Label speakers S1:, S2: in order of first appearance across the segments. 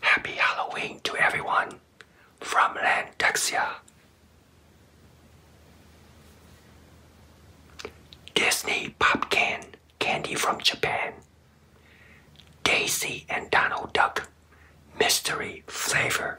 S1: Happy Halloween to everyone from Landexia. Disney Popcan Candy from Japan. Daisy and Donald Duck Mystery Flavor.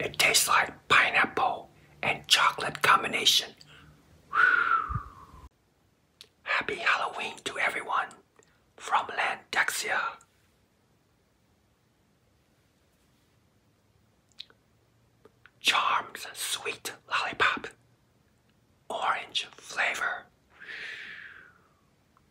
S1: It tastes like pineapple and chocolate combination. Whew. Happy Halloween to everyone from Landexia. Charms sweet lollipop. Orange flavor.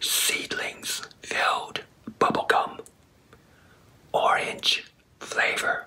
S1: Seedlings filled bubblegum, orange flavor.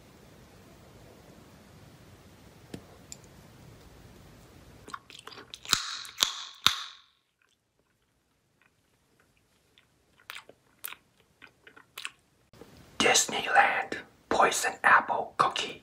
S1: Disneyland Poison Apple Cookie.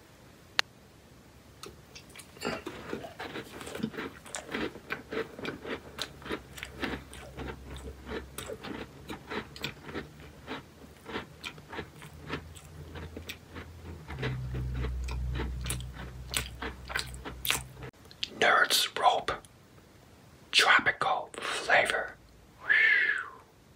S1: Nerds Rope Tropical Flavor.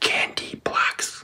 S1: Candy blocks.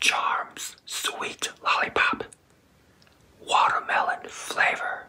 S1: Charms Sweet Lollipop Watermelon Flavor.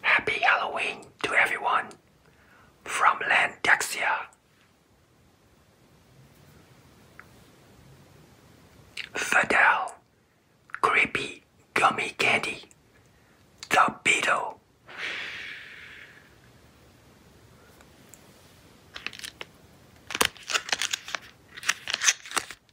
S1: Happy Halloween to everyone from Landexia. Fidel, Creepy Gummy Candy, The Beetle.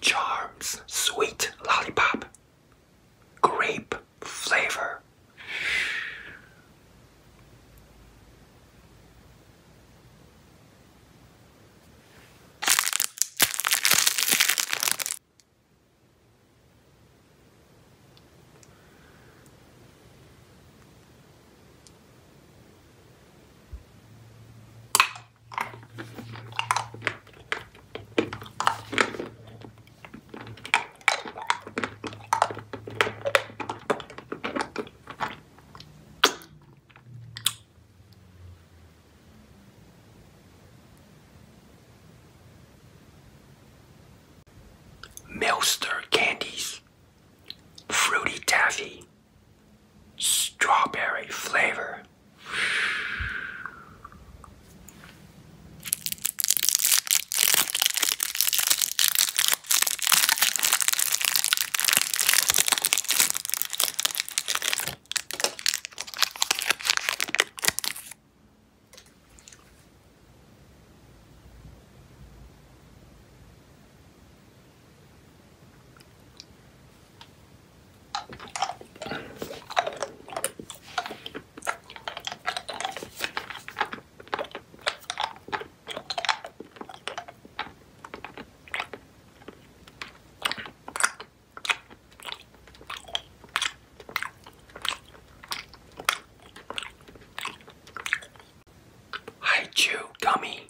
S1: Charms Sweet Lollipop Grape Flavor Milster candies, fruity taffy strawberry flavor. I chew gummy.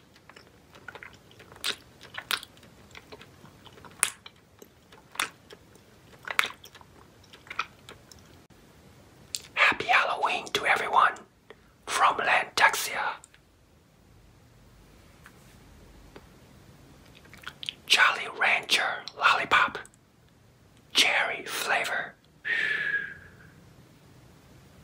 S1: Happy Halloween to everyone from Lantaxia. Jolly Rancher Lollipop Cherry Flavor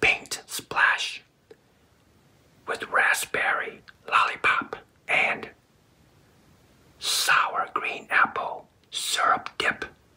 S1: Paint splash with raspberry lollipop and sour green apple syrup dip.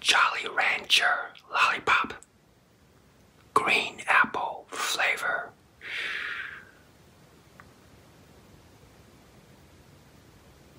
S1: Jolly Rancher Lollipop Green Apple Flavor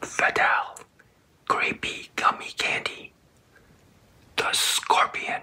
S1: Fatal creepy gummy candy. The Scorpion.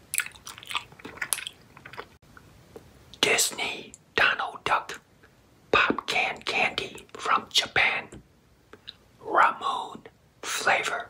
S1: Disney Donald Duck Pop Can Candy from Japan. Ramon flavor.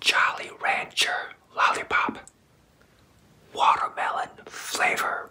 S1: Jolly Rancher Lollipop Watermelon Flavor.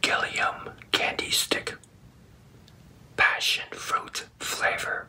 S1: Gilliam candy stick, passion fruit flavor.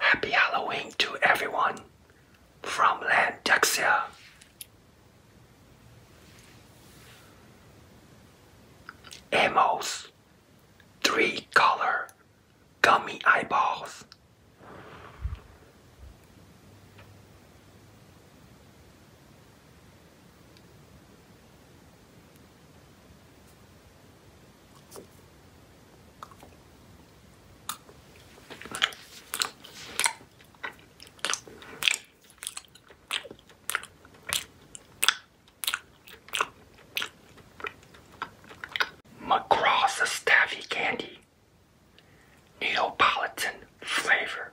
S1: Happy Halloween to everyone from Landexia. Amos, three color gummy eyeballs. McGraw's Staffy Candy. Neapolitan flavor.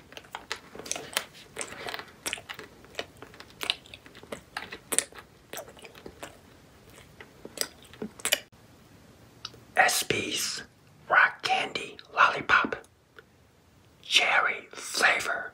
S1: S.P.S. Rock Candy Lollipop Cherry Flavor.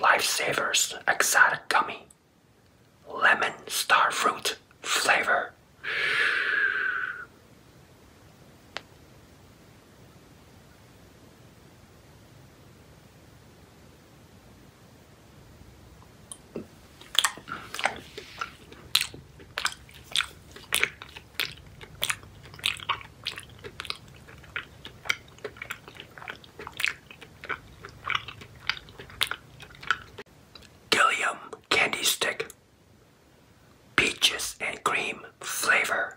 S1: Lifesavers Exotic Gummy Lemon starfruit Flavor. Gilliam candy stick, peaches and cream flavor.